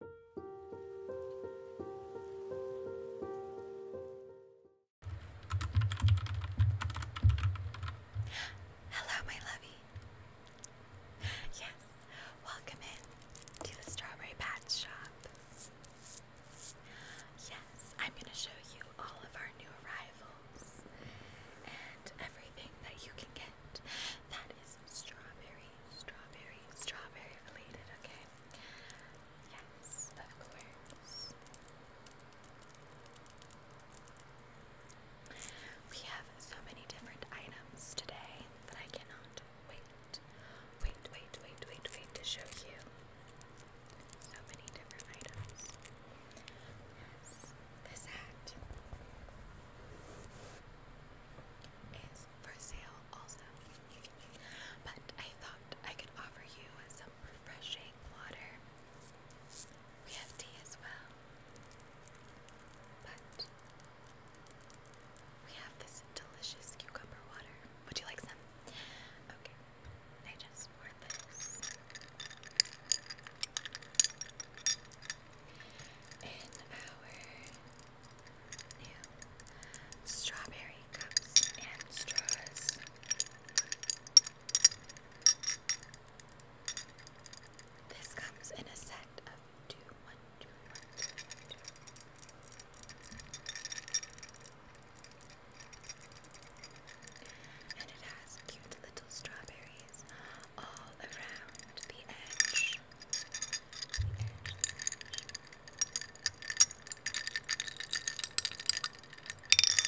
Hello, my lovey. Yes, welcome in to the Strawberry Patch Shop. Yes, I'm going to show you all of our new arrivals and everything that you can get that is strawberry strawberry, strawberry related, okay? Yes, of course. We have so many different items today that I cannot wait, wait, wait, wait, wait, wait to show you. So many different items. this hat is for sale also. But I thought I could offer you some refreshing water. We have tea as well. But we have this delicious cucumber water. Would you like some? Okay. I just poured this in our new strawberry cups and straws. This comes in a set of two, one, two, one, two, one, two. And it has cute little strawberries all around the edge.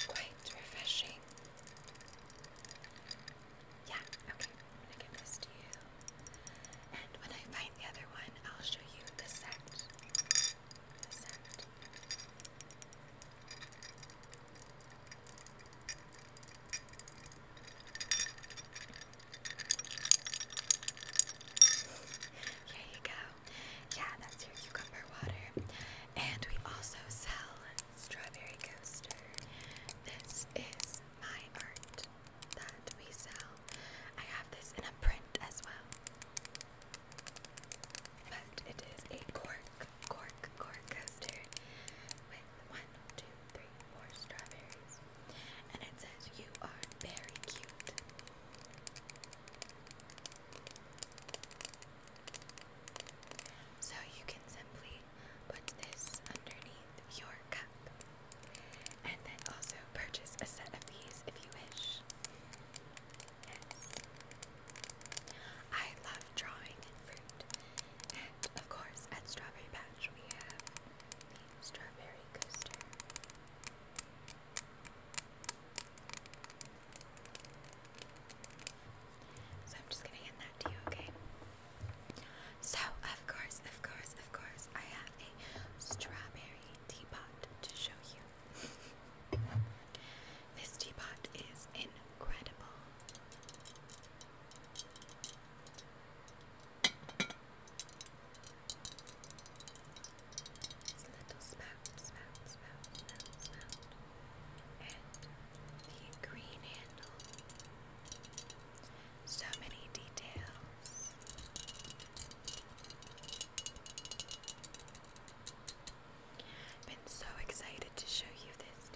Quite refreshing. Yeah, okay, I'm gonna give this to you. And when I find the other one, I'll show you the set. The set. Here you go. Yeah, that's your cucumber water. And we also sell strawberry coaster. This is my art that we sell. I have this in a print as well. But it is a cork, cork, cork coaster one, two, three, four strawberries. And it says, You are very cute. So you can simply put this underneath your cup. And then also purchase a set of these if you wish. I love drawing fruit. And of course, at Strawberry Patch, we have strawberry coaster. So I'm just gonna hand that to you, okay? So of course, of course, of course, I have a strawberry teapot to show you. this teapot is incredible. It's little spout, spout, spout, spout, spout. And the green handle. So many details. Been so excited to show you this,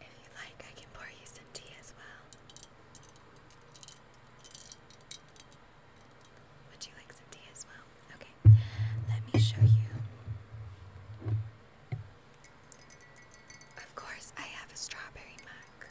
if you like, I can pour you some tea as well. Would you like some tea as well? Okay, let me show you. Of course, I have a strawberry mug.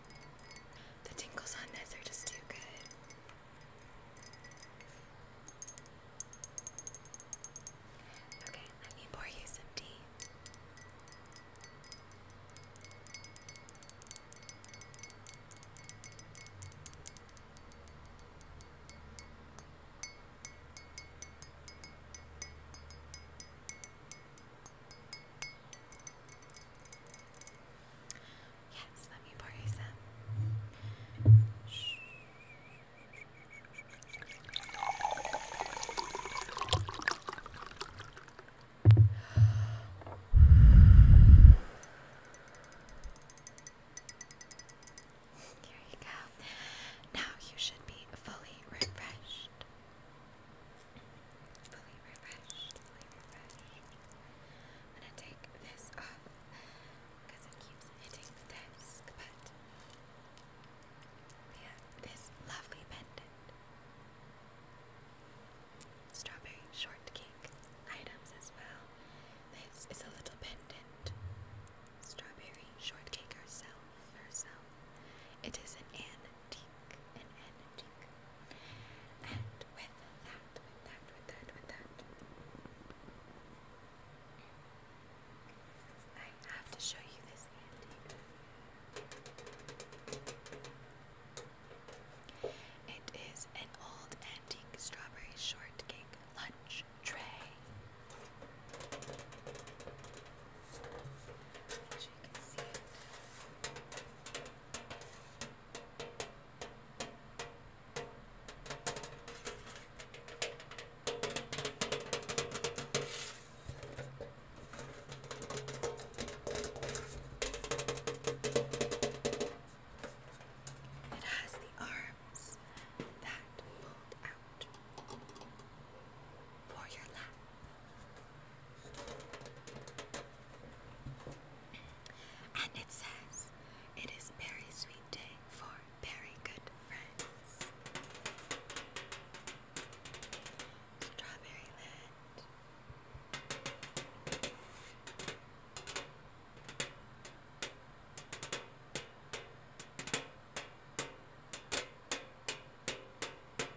The tinkles on this are just too good. Okay, let me pour you some tea. Yes, let me borrow some. Shh. Here you go. Now you should be fully refreshed fully refreshed, I'm gonna take this off because it keeps hitting the but we have this lovely pendant. Strawberry shortcake items as well. This is a little pendant. Strawberry shortcake herself, herself. It is an Anne an antique. And with that, with that, with that, with that, I have to show you this antique. It is an old antique strawberry shortcake lunch tray. It has the arms that fold out for your lap. And it says, it is very sweet day for very good friends. Strawberry land.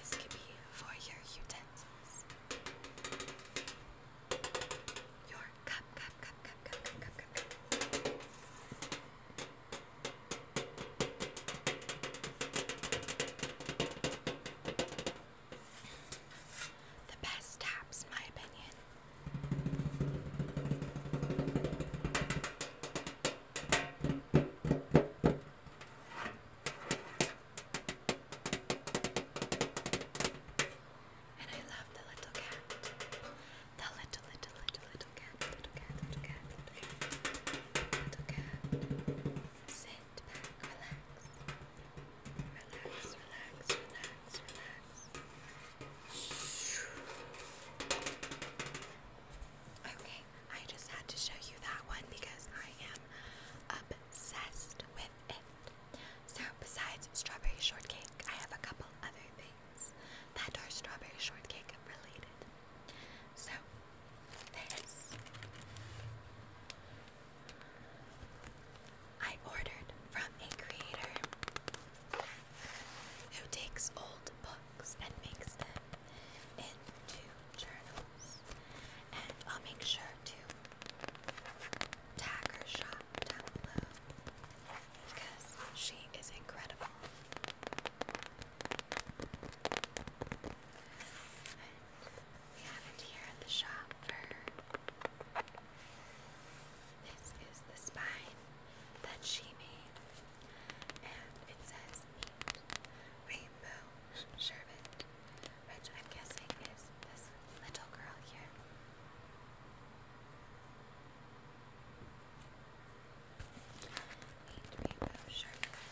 This could be for your utensils. Your cup, cup, cup, cup, cup, cup, cup, cup. The best taps, my opinion. And I love the little cat. The little, little, little, little cat. Little cat, little cat, little cat. Little cat. Sit relax. Relax, relax, relax, relax. Okay. I just had to show you that one because I am obsessed with it. So, besides strawberry shortcake, I have a couple other things that are strawberry shortcake related. So, this I ordered from a creator who takes old books and makes them into journals. And I'll make sure to tag her shop down below because she is incredible. we have it here at the shop for this is the spine that she made. And it says female servant, which I'm guessing is this little girl here. Eight rainbow sherbet.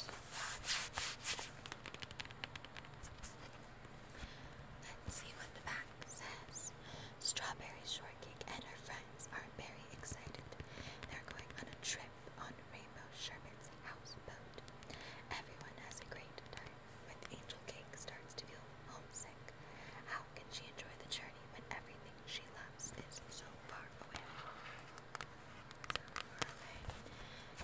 Let's see what the back says. Strawberry Shortcake and her friends are very excited. They're going on a trip on Rainbow Sherbet's houseboat. Everyone has a great time, but Angel Cake starts to feel homesick. How can she enjoy the journey when everything she loves is so far away?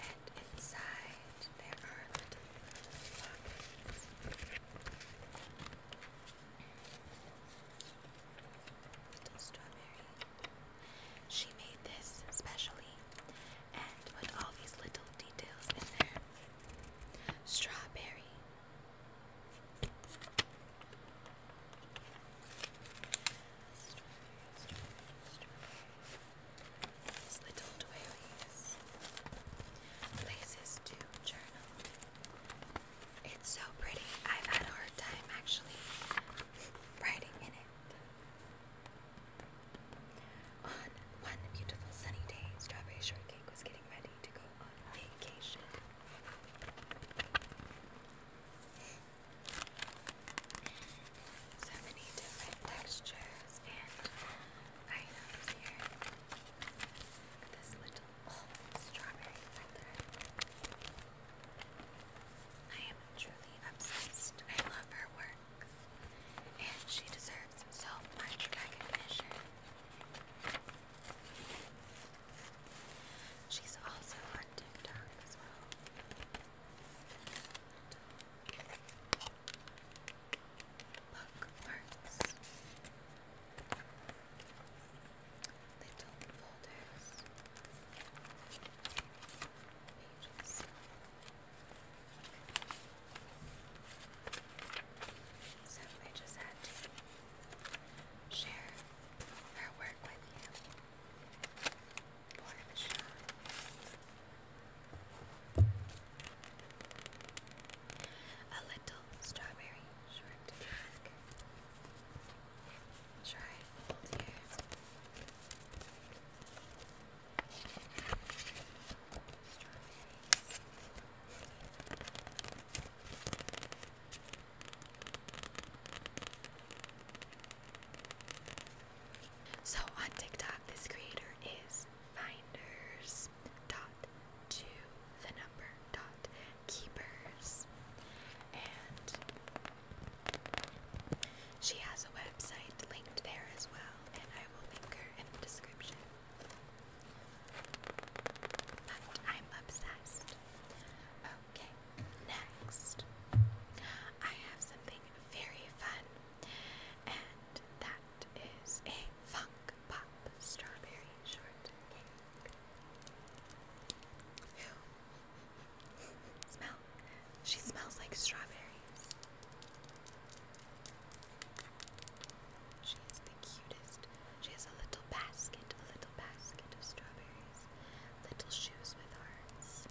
And inside there are little pockets. Little strawberries. She made this specially and put all these little details in there. Strawberry. Strawberry, strawberry, strawberry. these little doilies. Places to journal. It's so pretty. I've had a hard time actually writing in it. On one beautiful sunny day, Strawberry Shortcake was getting ready to go on vacation. So many different textures and items here. this little oh, strawberry feather. I am truly obsessed. I love her work, and she deserves so much recognition. She's also on TikTok as well. Bookmarks, little folders pages. So I just had to share her work with you for the show. A little strawberry short Try hold here. So on TikTok, this creator is finders dot to the number dot keepers, and she has a website linked there as well, and I will link her in the description. But I'm obsessed. Okay, next. I have something very fun, and that is a Funk Pop Strawberry Shortcake. Smell. She smells like strawberries. She the cutest. She has a little basket, a little basket of strawberries, little shoes with hearts.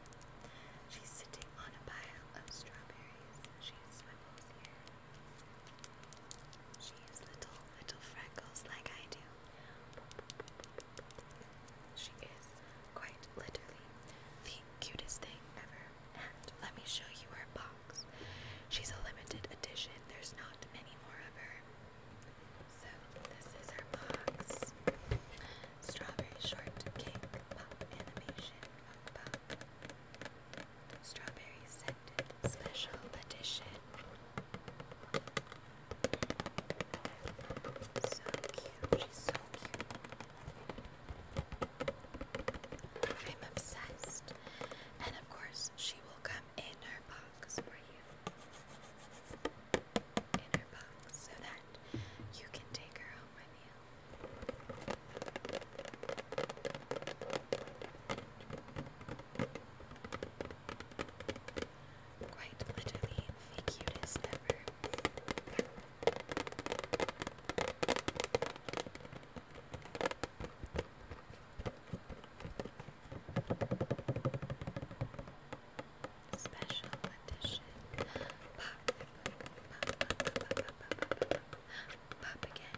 She's sitting on a pile of strawberries. She swivels here. She has little, little freckles like I do. She is quite literally the cutest thing ever. And let me show you her box. She's a limited edition, there's not many more of her. So, this is her box Strawberry Shortcake Pop Animation Strawberry Scented Special Edition. So cute so cute. I'm obsessed. And of course, she will come in her box for you. In her box so that you can take her home quite literally the cutest ever. Special edition. Pop again.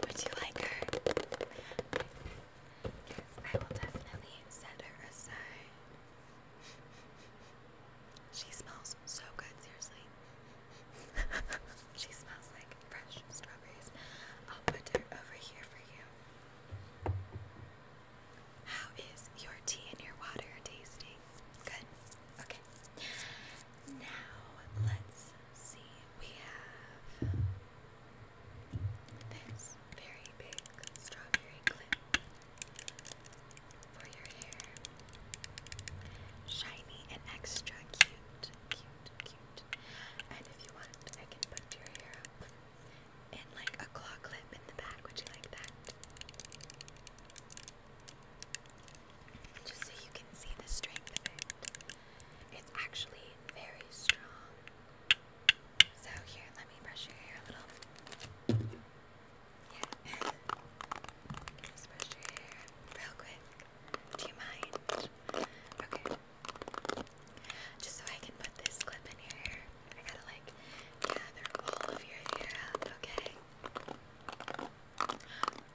Would you like her? I will definitely send her a sign. She smells so good, seriously. she smells like fresh strawberries. I'll put her over here for you. How is your tea and your water tasting? Good? Okay. Now, let's see. We have this very big strawberry clip for your hair. Shiny and extra cute. Cute, cute, and if you want, I can put your hair up in like a claw clip in the back. Would you like that? Just so you can see the strength of it. It's actually very strong. So here, let me brush your hair a little. Yeah. Just brush your hair real quick. Do you mind? Okay. Just so I can put this clip in your hair, I gotta like gather all of your hair up, okay?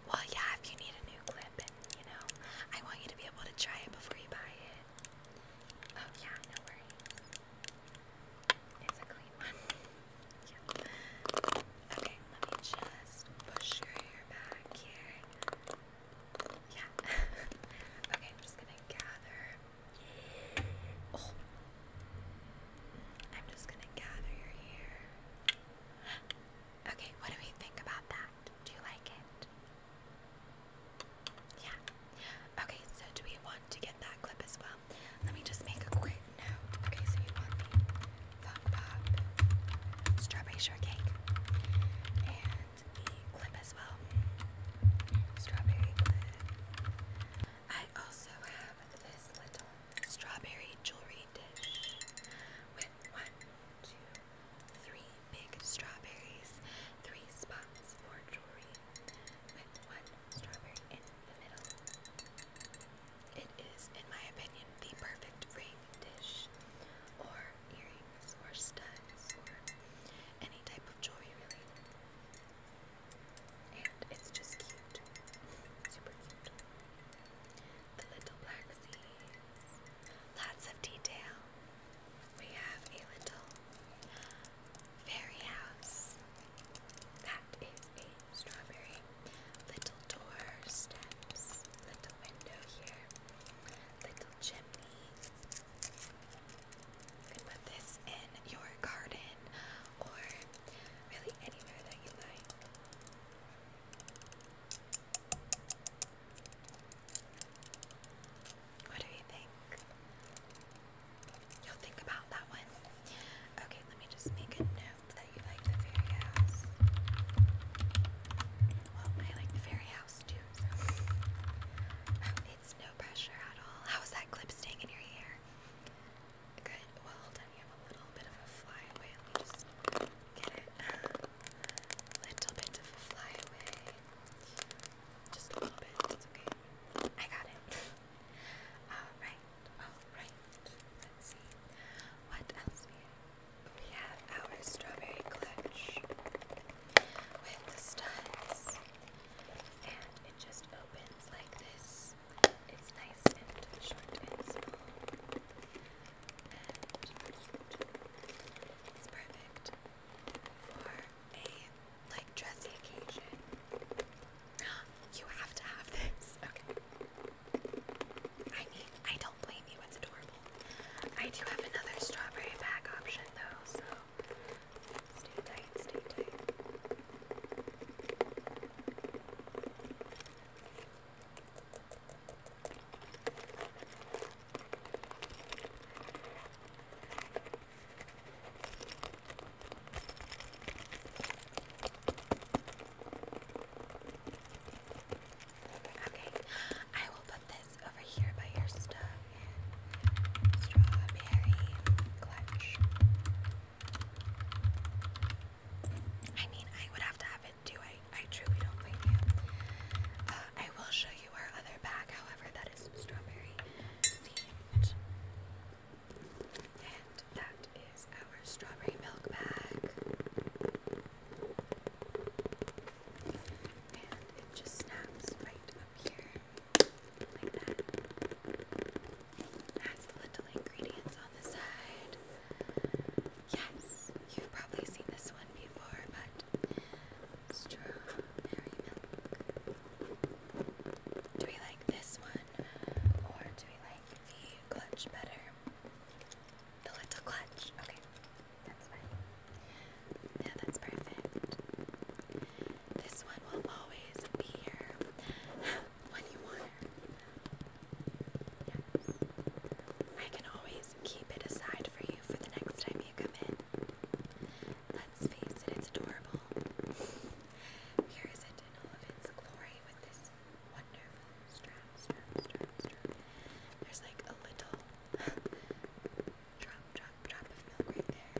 Well, yeah, if you need a new clip and you know, I want you to be able to try it before you buy it. Oh, yeah, no worries. It's a clean one. Okay, let me just push your hair back here. Yeah. okay, I'm just gonna gather. Oh. I'm just gonna gather your hair. Okay, what do we think about that? Do you like it? Yeah. Okay, so do we want to get that clip as well? Let me just make a quick note. Okay, so you want the Fun Pop Strawberry Shortcake and the clip as well. Strawberry clip. I also have this little strawberry jewelry dish with one, two, three big strawberries, three spots for jewelry, with one strawberry in the middle. It is, in my opinion, the perfect ring dish or earrings or studs or any type of jewelry, really. And it's just cute. Super cute. The little black seeds. Lots of detail. We have a little fairy house. That is a strawberry. Little door Little window here little chimney. You can put this in your garden or really anywhere that you like. What do you think? You'll think about that one. Okay, let me just make a note that you like the fairy house. Well, I like the fairy house too. Um, it's no pressure at all. How's that clip staying in your hair? Good. Well, hold You have a little bit of a flyaway. get it. A little bit of a flyaway. Just a bit. It's okay. I got it. all right. All right. Let's see. What else we have? we have our strawberry clutch with the studs, and it just opens like this. It's nice and short and small, and it's perfect for a like dressy occasion. You have to have this. I mean, I don't blame you, it's adorable. I do have another strawberry bag option though, so stay tight, stay tight. Okay, I will put this over here by your stuff strawberry clutch. I mean, I would have to have it too. I, I truly don't blame you. Uh, I will show you our other bag, however, that is strawberry themed. And that is our strawberry milk bag. And it just snaps right up here, like that. It little ingredients on the side. Yes, you've probably seen this one before, but strawberry milk. Do we like this one, or do we like the clutch better? The little clutch. Okay. That's Yeah, that's perfect. This one will always be here when you want her. I can always keep it aside for you for the next time you come in. Let's face it, it's adorable. Here is it in all of its glory with this wonderful there's like a little drop, drop, drop of milk right there.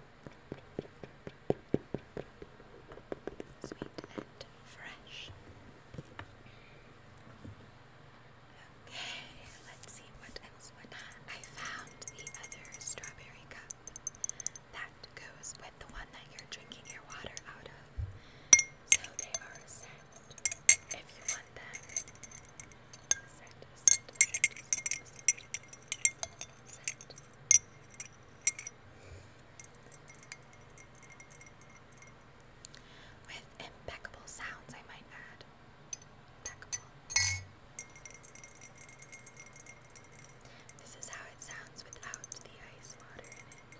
Sweet and fresh. Okay, let's see what else would I found the other strawberry cup that goes with the one that you're drinking your water out of. So they are set if you want them. With impeccable sounds, I might add. This is how it sounds without the ice water in it.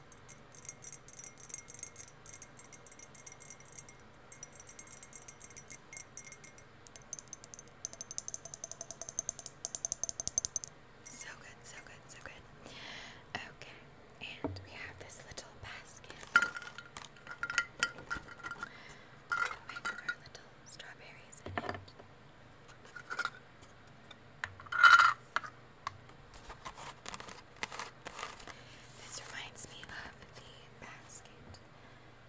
So good, so good, so good. Okay, and we have this little basket with our little strawberries in it. This reminds me of the basket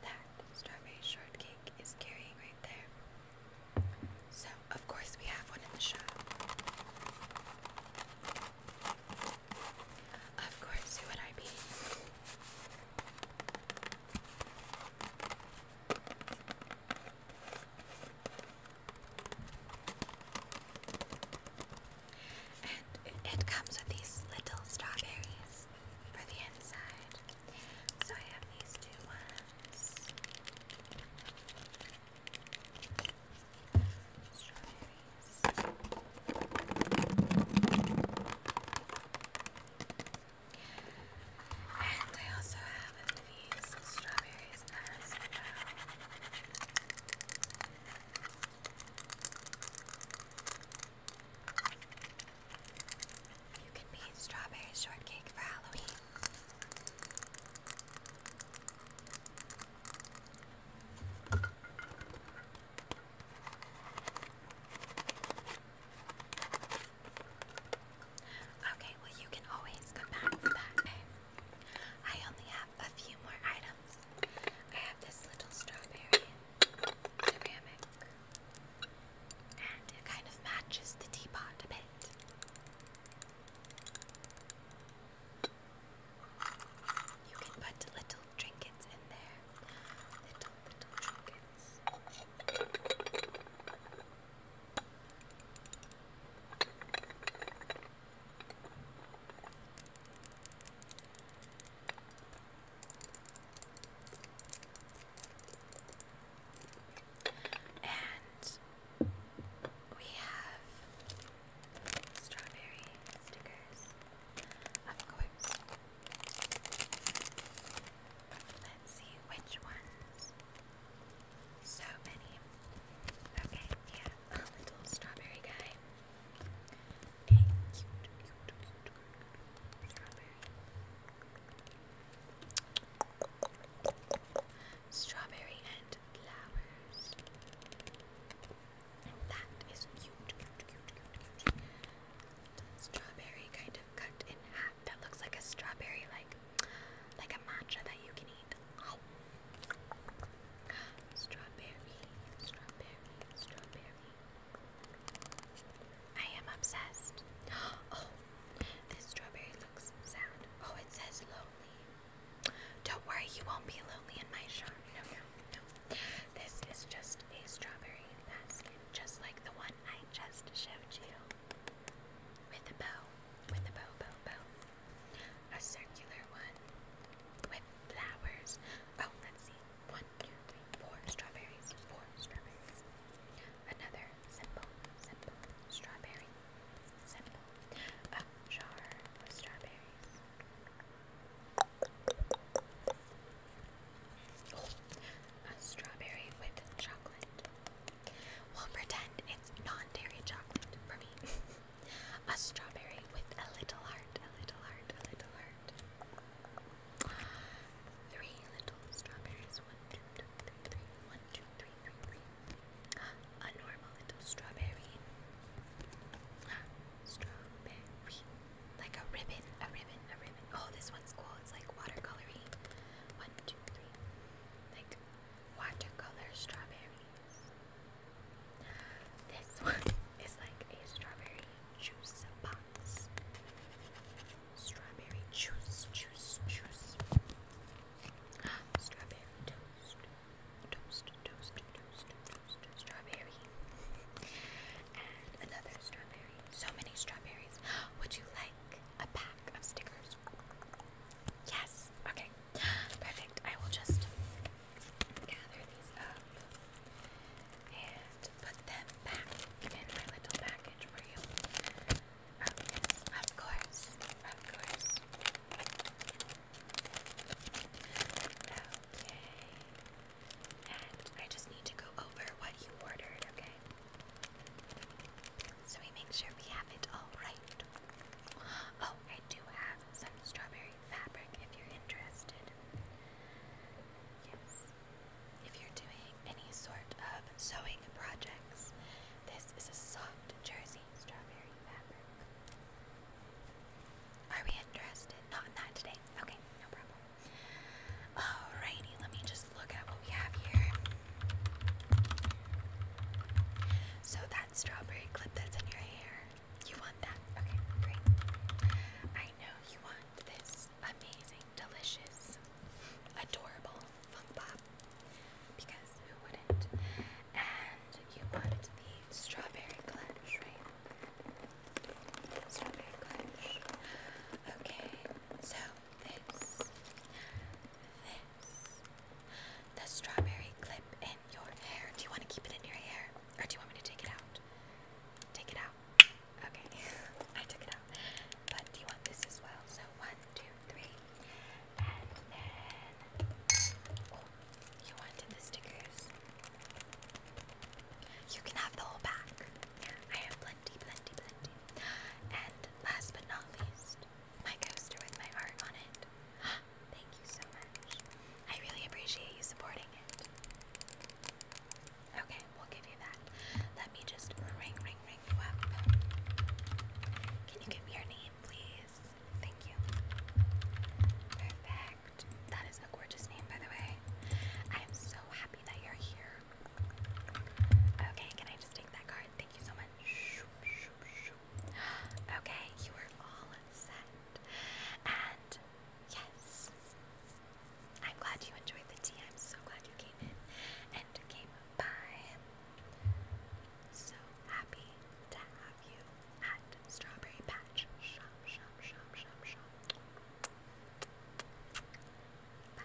that Strawberry Shortcake is carrying right there. So, of course, we have one in the shop. Of course, who would I be? And it, comes with these little strawberries for the inside. So I have these two ones. Strawberries. And I also have you can make strawberry shortcake for Halloween. Okay, well, you can always come back for that. Eh? I only have a few more items. I have this little strawberry ceramic, and it kind of matches the teapot a bit. You can put little trinkets in there. Little, little trinkets. And we have strawberry stickers, of course. Let's see which ones so many. Okay, yeah, little strawberry guy. A cute, strawberry. Strawberry and flowers. that is cute. Strawberry kind of cut in half. That looks like a strawberry, like like a matcha that you can eat. Strawberry, strawberry, strawberry. I am obsessed. Oh, this strawberry looks sad. Oh, it says lonely. Don't worry, you won't be lonely in my shop. No, no, no. This is just a strawberry basket, just like the one I just showed you. With a bow, with a bow, bow, bow a circular one with flowers. Oh, let's see. One, two, three, four strawberries, four strawberries. Another simple, simple strawberry, simple. A jar strawberries. Oh, a strawberry with chocolate. We'll pretend it's non-dairy chocolate for me. a strawberry with a little heart, a little heart, a little heart. Three little strawberries. One, two, two, three, three. One, two, three, three, three. A normal little strawberry. Strawberry. Like a ribbon, a ribbon, a ribbon. Oh, this one's cool. It's like watercolory. One, two, three. Like watercolor strawberries. This one is like a strawberry juice box. Strawberry juice, juice, juice. Strawberry toast. Toast, toast, toast, toast, strawberry. And another strawberry. So many strawberries. Would you like a pack of stickers Yes. Okay. Perfect. I will just gather these up and put them back in my little package for you. Oh, Of course. Of course. Okay. And I just need to go over what you ordered, okay? So we make sure we have it all right Oh, I do have some strawberry fabric if you're interested. Yes. If you're doing any sort of sewing projects, this is a soft jersey strawberry fabric. Are we interested? Not in that today. Okay, no problem. Alrighty, let me just look at what we have here. So that strawberry clip that's in your hair, you want that? Okay, great. I know you want this amazing, delicious, adorable fun pop because who wouldn't? And you want the strawberry clutch, right? Strawberry clutch. Okay, so this, this the strawberry clip in your hair. Do you want to keep it in your hair or do you want me to take it out? Take it out. Okay, I took it out. But do you want this as well? So one, two, three. And then, oh, you wanted the stickers. You can have the whole pack. I have plenty, plenty, plenty. And last but not least, my coaster with my art on it. Thank you so much. I really appreciate you supporting it. Okay, we'll give you that. Let me just ring, ring, ring you up. Can you give me your name, please? Thank you. Perfect. That is a gorgeous name, by the way. I am so happy that you're here. Okay, can I just take that card? Thank you so much. Okay, you are all set. And yes, I'm glad you enjoyed the tea. so glad you came in and came by. So happy to have you at Strawberry Patch Shop, Shop, Shop, Shop, Shop. Bye.